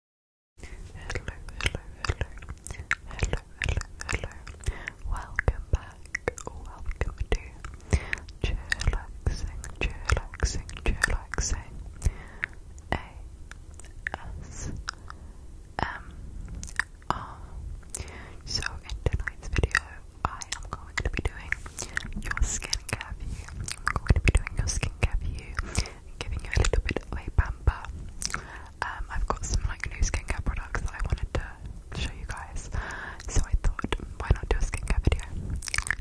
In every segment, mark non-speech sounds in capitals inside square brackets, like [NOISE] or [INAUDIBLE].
Hello, hello, hello. Hello, hello, hello. Welcome back. Welcome to Chillaxing, Chillaxing, Chillaxing. A S M R. So, in tonight's video, I am going to be doing your skincare view. I'm going to be doing your skincare view giving you a little bit of a pamper. Um, I've got some like new skincare products that I wanted to show you guys, so I thought, why not do a skincare video?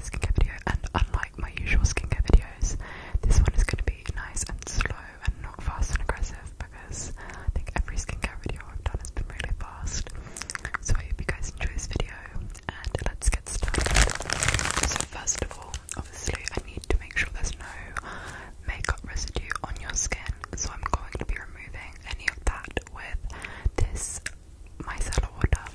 Skincare video, and unlike my usual skincare videos, this one is going to be nice and slow and not fast and aggressive because I think every skincare video I've done has been really fast. So I hope you guys enjoy this video, and let's get started. So first of all, I need to make sure there's no makeup residue on your skin, so I'm going to be removing any of that with this micellar water.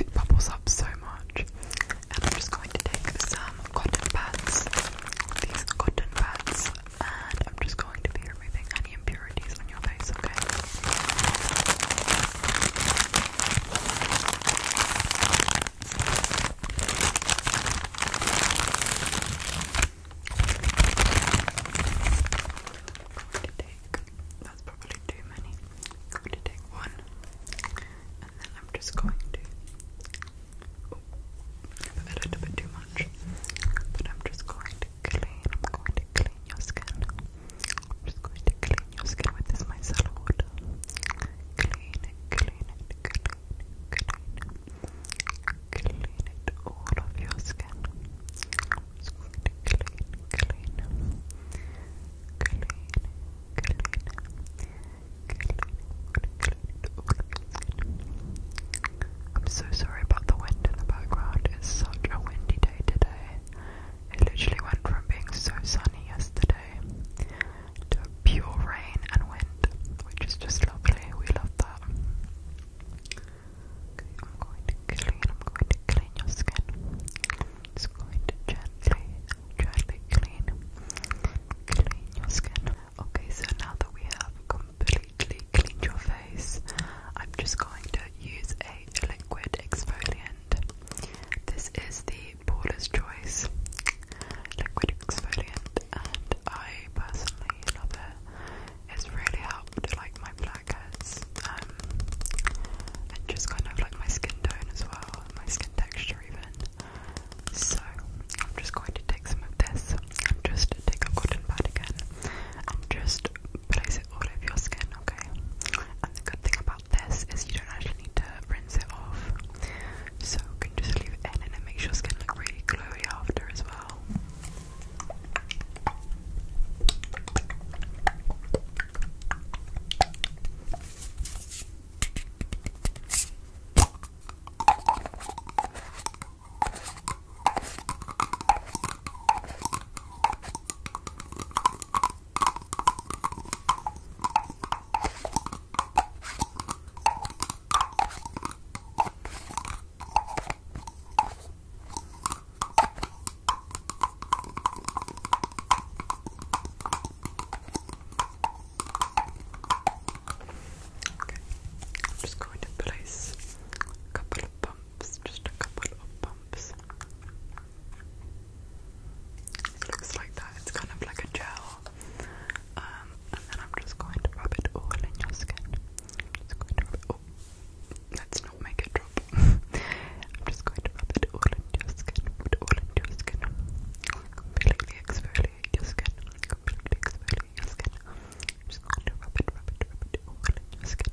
It bubbles up so much, and I'm just going to take some cotton pads, these cotton pads, and I'm just going to be you any impurities on your face, okay? going to take, that's probably too many. going to take one, and then I'm just going to. Oh, a little bit too much, but I'm just going to clean, I'm going to clean your skin. I'm going to clean your skin with this micellar water. Clean it, clean it, clean it, clean it. Clean it all of your skin. I'm just going to clean, clean, clean, clean, clean, clean it all of your skin. I'm so sorry about the wind in the background. It's such a windy day today. It literally went from being so sunny yesterday to pure rain and wind, which is just lovely. We love that. I'm going to clean, I'm going to clean your skin. Just going to gently, gently clean, clean your skin. Okay, so now that we have completely cleaned your face, I'm just going to use a liquid exfoliant. This is the Paula's Choice liquid exfoliant, and I personally love it. It's really helped like my blackheads um, and just kind of like my skin tone as well, my skin texture even. So I'm just going to take some of this. I'm just take a cotton pad again. I'm just place it all over your skin, okay? And the good thing about this is you don't actually need to rinse it off. So you can just leave it in and it makes your skin look really glowy after as well. Okay, I'm just going to place a couple of just a couple of bumps. It looks like that. It's kind of like a gel. Um, and then I'm just going to rub it all in your skin. Just going to rub it. Oh, let's not make it drop. [LAUGHS] I'm just going to rub it all in your skin. Rub it all in your skin. Completely exfoliate your skin. Completely exfoliate your skin. just going to rub it, rub it, rub it all in your skin.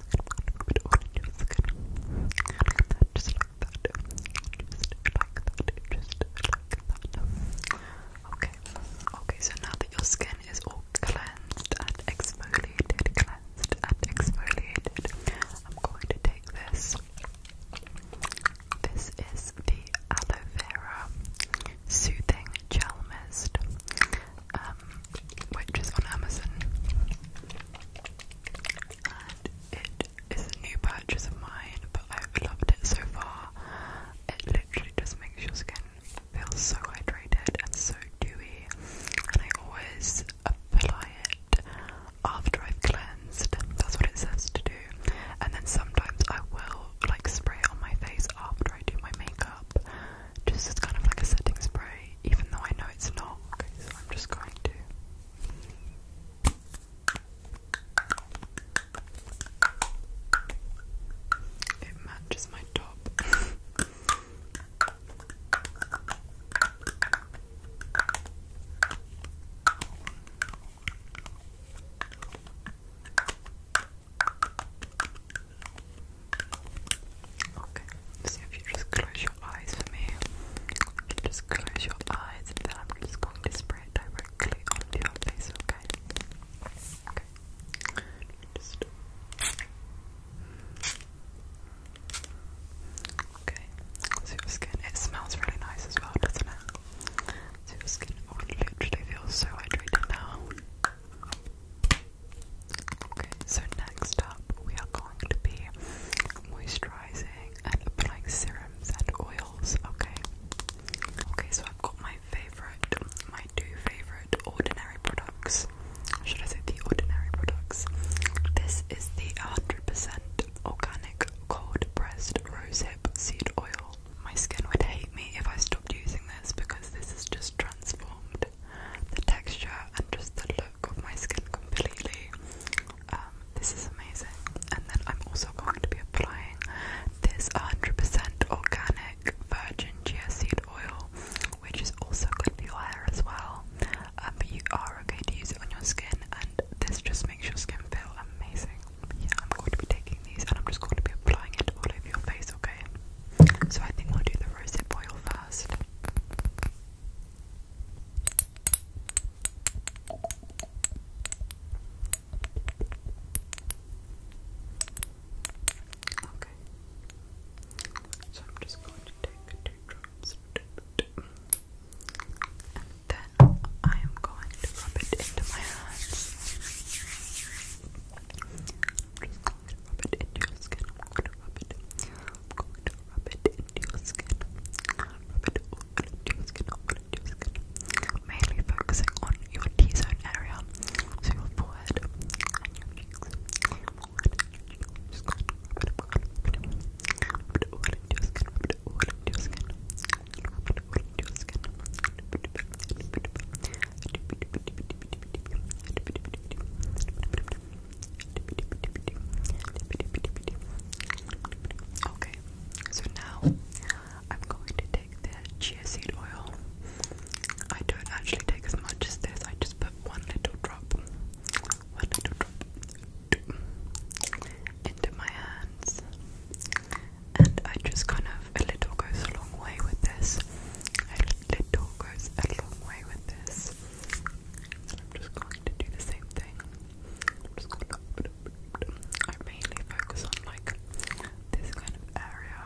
Okay. Okay, so now that your skin is all cleansed and exfoliated, cleansed and exfoliated, I'm going to take this. This is the aloe vera soothing gel mist, um, which is on Amazon and it is a new purchase of mine, but I've loved it so far. It literally just makes your skin feel so hydrated and so dewy, and I always apply it after I've cleansed. That's what it says to do, and then sometimes I will like spray on my face after I do my makeup, just as kind of like a setting spray, even though I know it's not. Okay, so I'm just going to. It matches my top. [LAUGHS] Okay. So if you just close your eyes for me, just close your eyes and then I'm just going to spray it directly onto your face, okay? Okay. Just Okay. So your skin it smells really nice as well, doesn't it? So your skin literally feels so hydrated now. Okay, so next up we are going to be moisturizing cleansing and uh, applying serums and oils, okay? Okay, so I've got my favourite, my two favourite ordinary products. Should I say the ordinary products? This is the 100% organic cold pressed rosehip seed oil. My skin would hate me if I stopped using this because this has just transformed the texture and just the look my skin completely. Um, this is amazing. And then I'm also going to be applying this 100% organic virgin chia seed oil, which is also good for your hair as well. Uh, but you are okay to use it on your skin, and this just makes your skin feel amazing. yeah, I'm going to be taking these, and I'm just going to be applying it all over your face, okay? So I think we'll do the rosehip oil first. Okay. So I'm just going to take two drops and then I am going to rub it into my hands. I'm going to rub it into your skin. I'm going to rub it. I'm going to rub it into your skin. Rub it into your skin, all into your skin. Mainly focusing on your T-zone area. So your forehead Okay, so now I'm going to take the chia seed oil. I don't actually take as much as this, I just put one little drop, one little drop into my hands. And I just kind of, a little goes a long way with this. A little goes a long way with this. I'm just going to do the same thing. i mainly focus on like this kind of area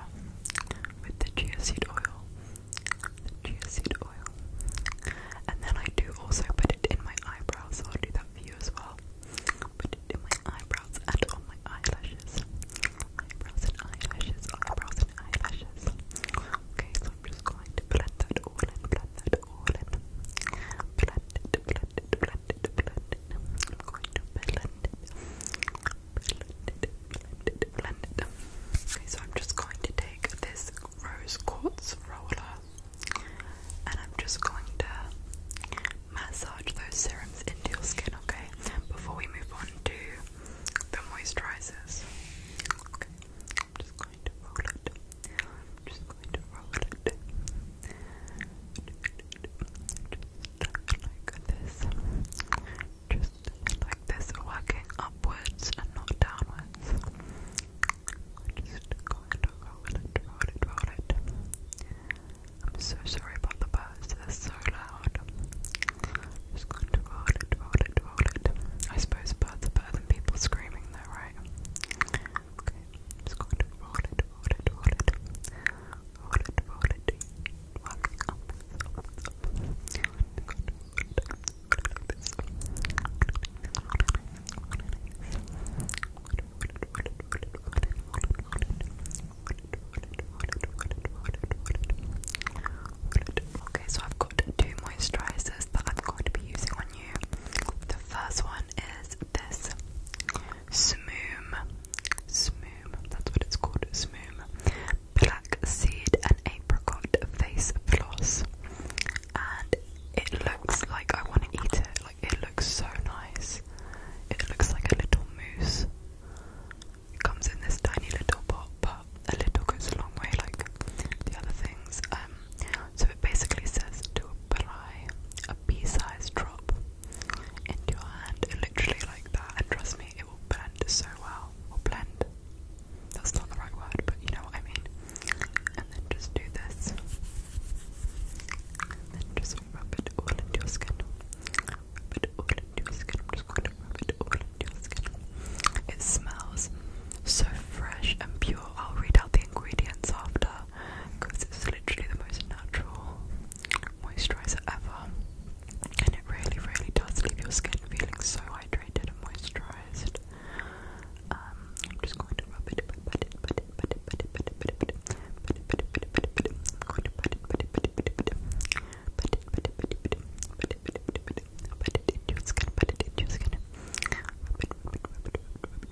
with the chia seed oil. chia seed oil. And then I do also put it in my eyebrows, so I'll do that for you as well. Put it in my eyebrows and on my eyelashes. Eyebrows and eyelashes, eyebrows and eyelashes. Okay, so I'm just going to blend that all in, blend that so I'm just going to take this rose quartz roller and I'm just going to massage those serums into your skin, okay? Before we move on to the moisturizers. I'm just going to roll it. Just like this. Just like this, working upwards and not downwards. I'm just going to roll it, roll it, roll it. I'm so sorry about the birds, they so loud. just going to roll it, roll it, roll it. I suppose birds are better than people screaming though, right? Okay, I'm just going to roll it, roll it, Okay, so I've got two moisturizers that I'm going to be using on the first one is this Smoo, Smoo. that's what it's called. Smoo. Black seed and apricot face floss. And it looks like I want to eat it. Like it looks so nice. It looks like a little mousse. It comes in this tiny little pot, but a little goes a long way like the other things. Um, so it basically says to apply a pea-sized drop into your hand, literally like that, and trust me, it will blend so well. Or blend. That's not the right word, but you know what I mean. And then just do this. And then just rub it all into your skin. Rub it all into your skin. I'm just going to rub it all into your skin. It smells so fresh and pure. I'll read out the ingredients after because it's literally the most natural moisturizer ever and it really really does leave your skin feeling so hydrated and moisturized I'm just going to rub it I'm going to put it, put it, put it, put it, put it Put it in your skin, put it in your skin. Rub it, rub it, rub it, rub it,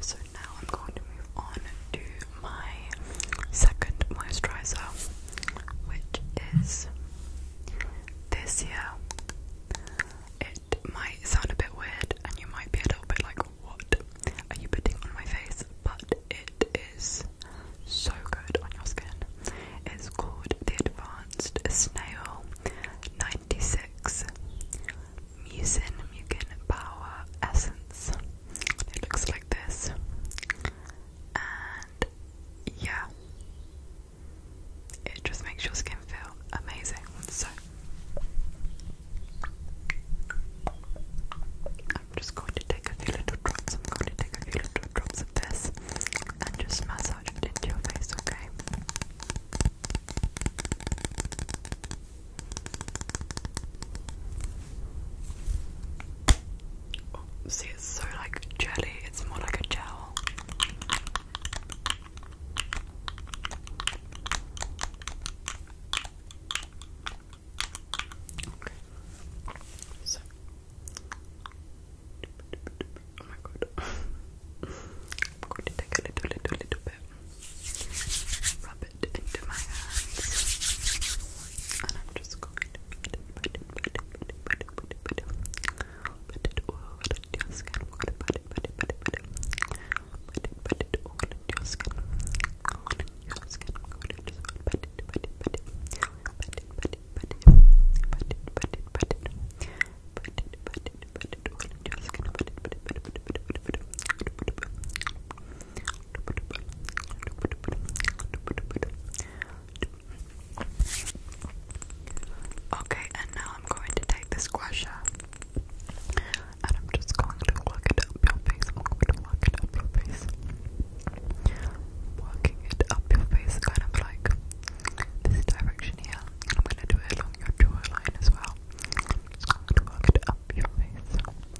So now I'm going to move on to my second moisturizer, which is this here. It might sound a bit weird, and you might be a little bit like, "What are you putting on my face?" But it is so good on your skin. It's called the Advanced Snail 96 Mucin Mucin Power Essence. It looks like this. And yeah, it just makes your skin feel amazing. So I'm just going to take a few little drops. I'm going to take a few little drops of this and just massage it into your face, okay? Oh, see, it's so like jelly, it's more like a gel. Okay. Oh my god. I'm going to take a little, little, little bit rub it into my hands, I'm just going to put it, put it, put it, put it, put it, put it, put it, put it all your skin. Put it, put it, put it, put it, put it, put it, put it all on your your skin, your skin. Put it, put it, put put it, put it, put it, put it, put it, put it, put it, put it, put it, put it, put it, put it, put it, put it, put put it, put it, put it, put it, put it, put it, put it, put it, put it, put it, put it, put it, put it, put it, put Okay, and now I'm going to take this squasher and I'm just going to work it up your face. I'm going to work it up your face. Working it up your face, kind of like this direction here. And I'm going to do it along your jawline as well. just going to work it up your face.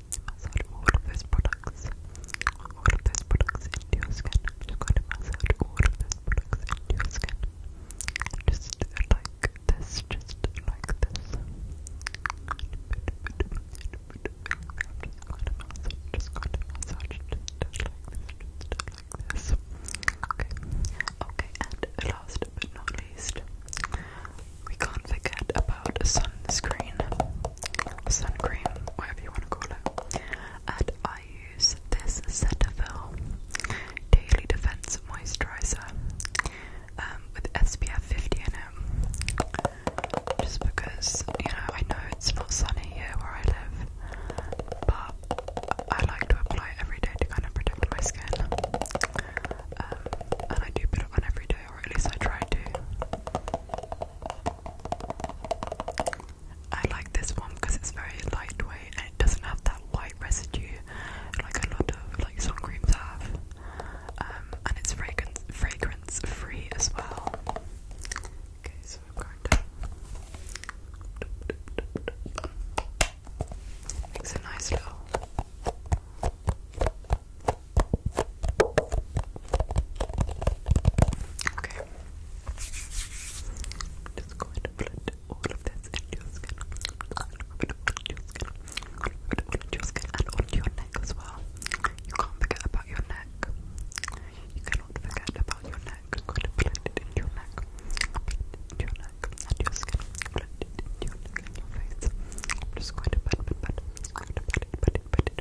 massage all of products, all of those products into your skin. massage all of products into your skin. just like this, just like this. Okay, okay, and last but not least, we can't forget about sunscreen, sun cream, whatever you want to call it. And I use this Cetaphil Daily Defense Moisturizer um, with SPF 50 in it. Just because, you know, I know it's not sunny here where I live, but I like to apply every day to kind of protect my skin. Um, and I do put on every day at least I try to. I like this one because it's very lightweight and it doesn't have that white residue like a lot of like sun creams have. Um, and it's fragrance fragrance free as well. Okay, so I'm going to makes a nice little Okay. just going to blend all of this into your skin. i your skin. i your skin and onto your neck as well. You can't forget about your neck. You cannot forget about your neck. i blend it into your neck. your neck your skin. Blend it your neck your face. I'm just going to blend, blend, blend, I'm and then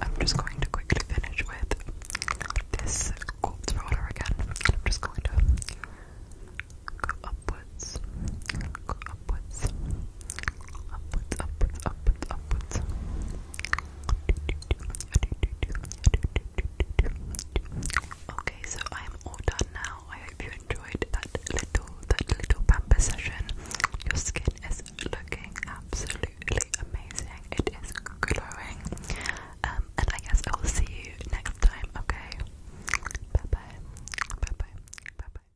I'm just going to quickly finish with this quartz roller again. I'm just going to go up with. Okay, so I'm all done now. I hope you enjoyed that little, that little pamper session. Your skin is looking absolutely amazing. It is glowing. Um, and I guess I will see you next time. Okay. Bye bye. Bye bye. Bye bye.